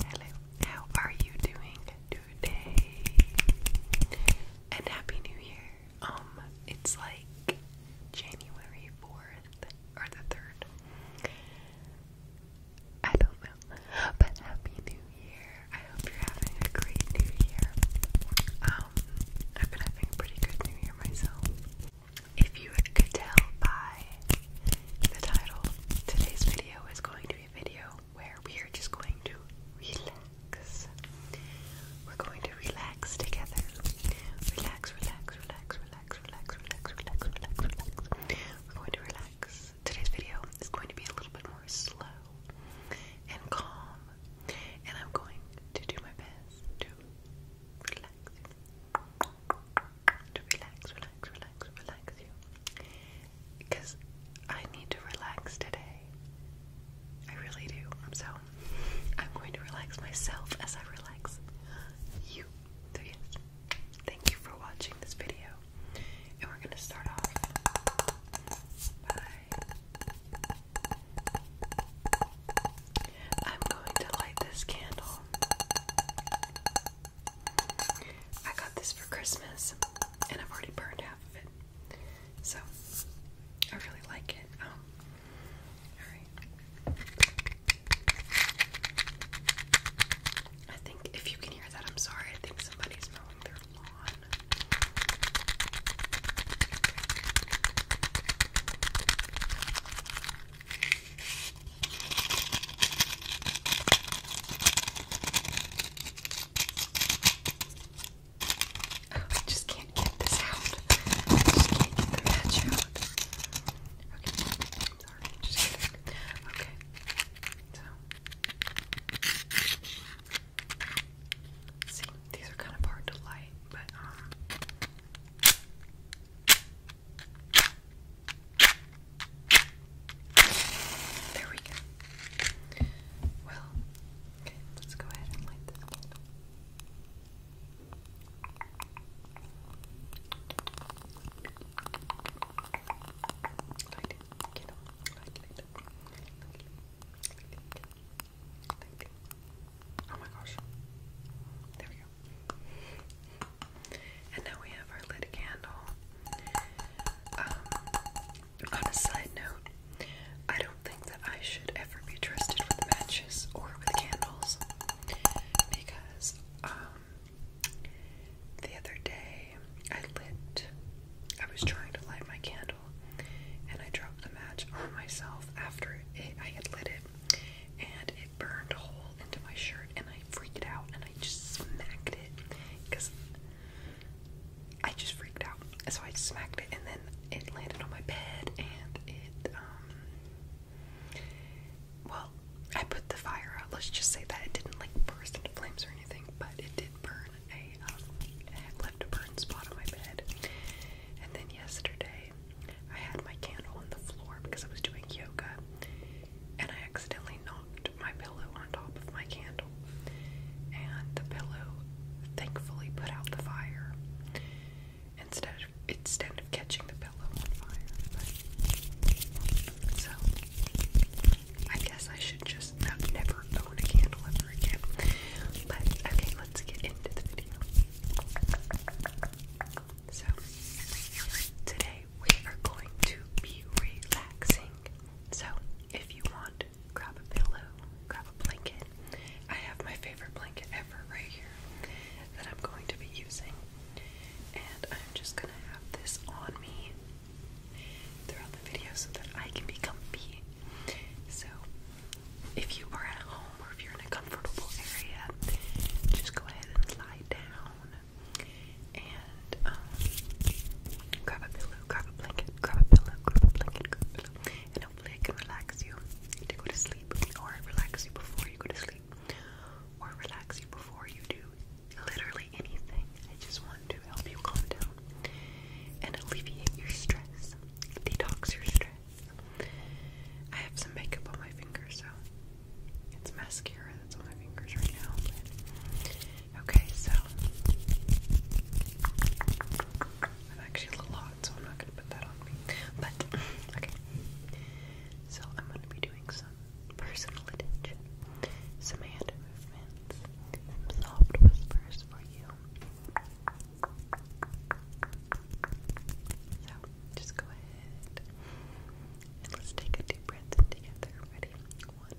hello, how are you doing today? And happy new year. Um, it's like January 4th or the 3rd. I don't know. But happy new year. I hope you're having a great new year. Um, I've been having pretty good new year myself. If you could tell by the title, today's video is going to be a video where we are just going to relax. We're going to relax together. Relax, relax, relax, relax, relax, relax, relax, relax, We're going to relax. Today's video is going to be a little bit more slow and calm and I'm going to do my best to relax To relax, relax, relax, relax you. Because I need to relax today. I really do. So I'm going to relax myself as I relax you. yes, thank you for watching this video. And we're going to start off by I'm going to light this candle. I got this for Christmas and I've already burned half of it. So I really like it. Oh. Um, Alright. I think if you can hear that, I'm sorry. I think somebody's mowing the lawn. Oh, I just can't get this out. just can't get the match out. Okay, sorry. Just kidding. Okay, so See, these are kind of hard to light, but um, there we go. Well, okay, let's go ahead and light this Light it, get on, light, light, light, light, light, light, oh my gosh. There we go. And now we have our lit candle. Um, on a side note, I don't think that I should ever be trusted with matches or with candles because um, the other day I lit, I was trying to light my candle, and I dropped the match on myself after it, I had lit it, and it burned a hole into my shirt, and I freaked out, and I just smacked it, because I just freaked out, so I smacked it, and then it landed on my bed, and it, um, well, I put the fire out, let's just say that it didn't, like, burst into flames or anything, but it did burn, I left a burn um, spot on my bed. And then yesterday, I had my candle on the floor because I was doing yoga, and I accidentally knocked my pillow on top of my candle. And the pillow thankfully put out the fire instead of, instead of catching the pillow on fire. so I guess I should just never own a candle ever again. But okay, let's get into the video. So today we are going to be relaxing. So if you want, grab a pillow, grab a blanket. I have my favorite blanket ever right here that I'm going to be using. And I'm just gonna have this on me throughout the video so that I can be comfy. So, if you are at home or if you're in a comfortable area, just go ahead and lie down and um, grab a pillow, grab a blanket, grab a pillow, grab a blanket, pillow, and hopefully it can relax you to go to sleep or relax you before you go to sleep or relax you before you do literally anything. I just want to help you calm down and alleviate your stress, detox your stress. I have some makeup on my fingers, so it's mascara that's on my fingers right now. okay, so I'm actually a little hot, so I'm not gonna put that on But okay, so I'm gonna be doing some personal attention, some movements, soft whispers for you. So, just go ahead and let's take a deep breath together. Ready? One,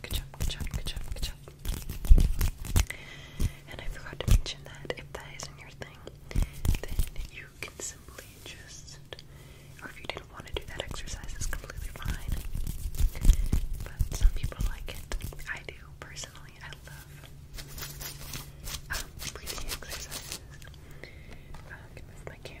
Good job, good job, good job, good job. And I forgot to mention that if that isn't your thing, then you can simply just, or if you didn't want to do that exercise, it's completely fine. But some people like it. I do personally. I love um, breathing exercises. Uh, I move my camera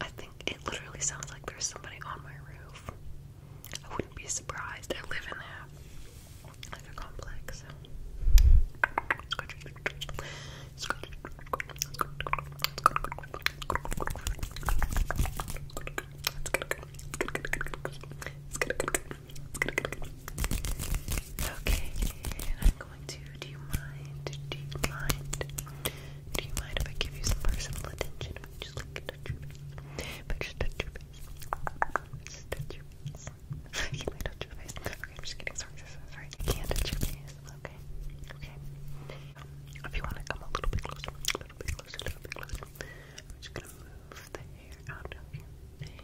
I think it literally sounds like there's somebody on my roof. I wouldn't be surprised. I live in there, like a complex. Okay, do you mind? Do you mind? Do you mind if I give you some personal attention? just like touch your face, touch your face. touch your face. I touch your face. Okay, am just kidding. Sorry, sorry. I can't touch your face. Okay, okay. if you want to come a little bit closer, a little bit closer, a little bit closer. I'm just gonna move the hair out of your face.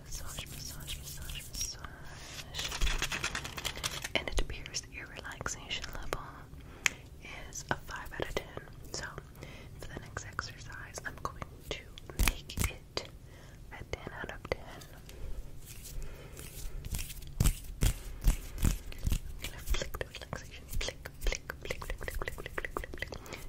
massage, massage, massage, massage. And it appears that your relaxation level is a 5 out of 10. So, for the next exercise, I'm going to make it a 10 out of 10. I'm gonna flick the relaxation. Flick, flick, flick, flick, flick, flick, flick, flick, flick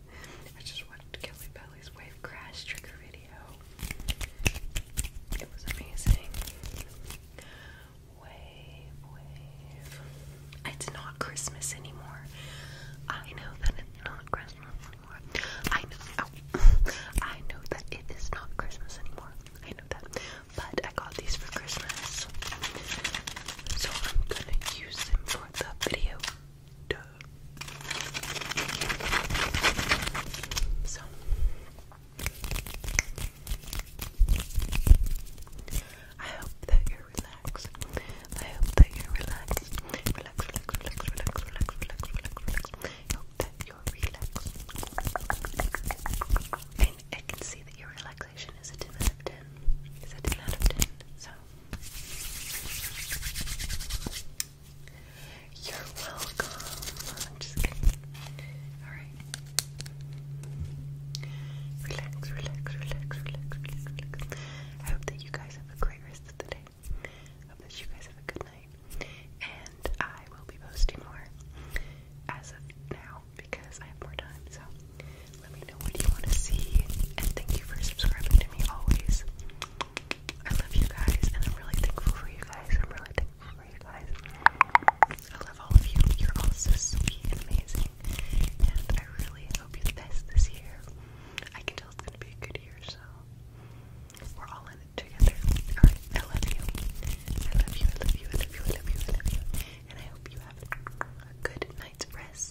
I just watched Kelly Belly's Wave Crash trigger video. It was amazing. Wave, wave. It's not Christmas anymore. I know that it's not Christmas anymore. I know. Oh, I know that it is not Christmas anymore. I know that. But I got these for Christmas. So I'm gonna use them for the video. So I hope that you're relaxed. I hope that you're relaxed. Relax, relax, relax, relax, relax, relax, relax, relax. I And I can see that your relaxation is a 10 out of 10. Is a 10 out of 10. So you're welcome. I'm just kidding. Alright. Relax, relax, relax, relax, relax, relax. I hope that you guys have a great rest of the day. I hope that you guys have a good night. And I will be posting more as of now because I have more time. So let me know what you want to see. And thank you for subscribing to me always. I love you guys, and I'm really thankful for you guys. I'm really thankful for you guys. I love all of you. You're all so sweet and amazing. And I really hope you guys this year. I can tell it's gonna be a good year, so we're all in it together. Alright, I love you. I love you, I love you, I love you, I love you, I love you. And I hope you have a good night's rest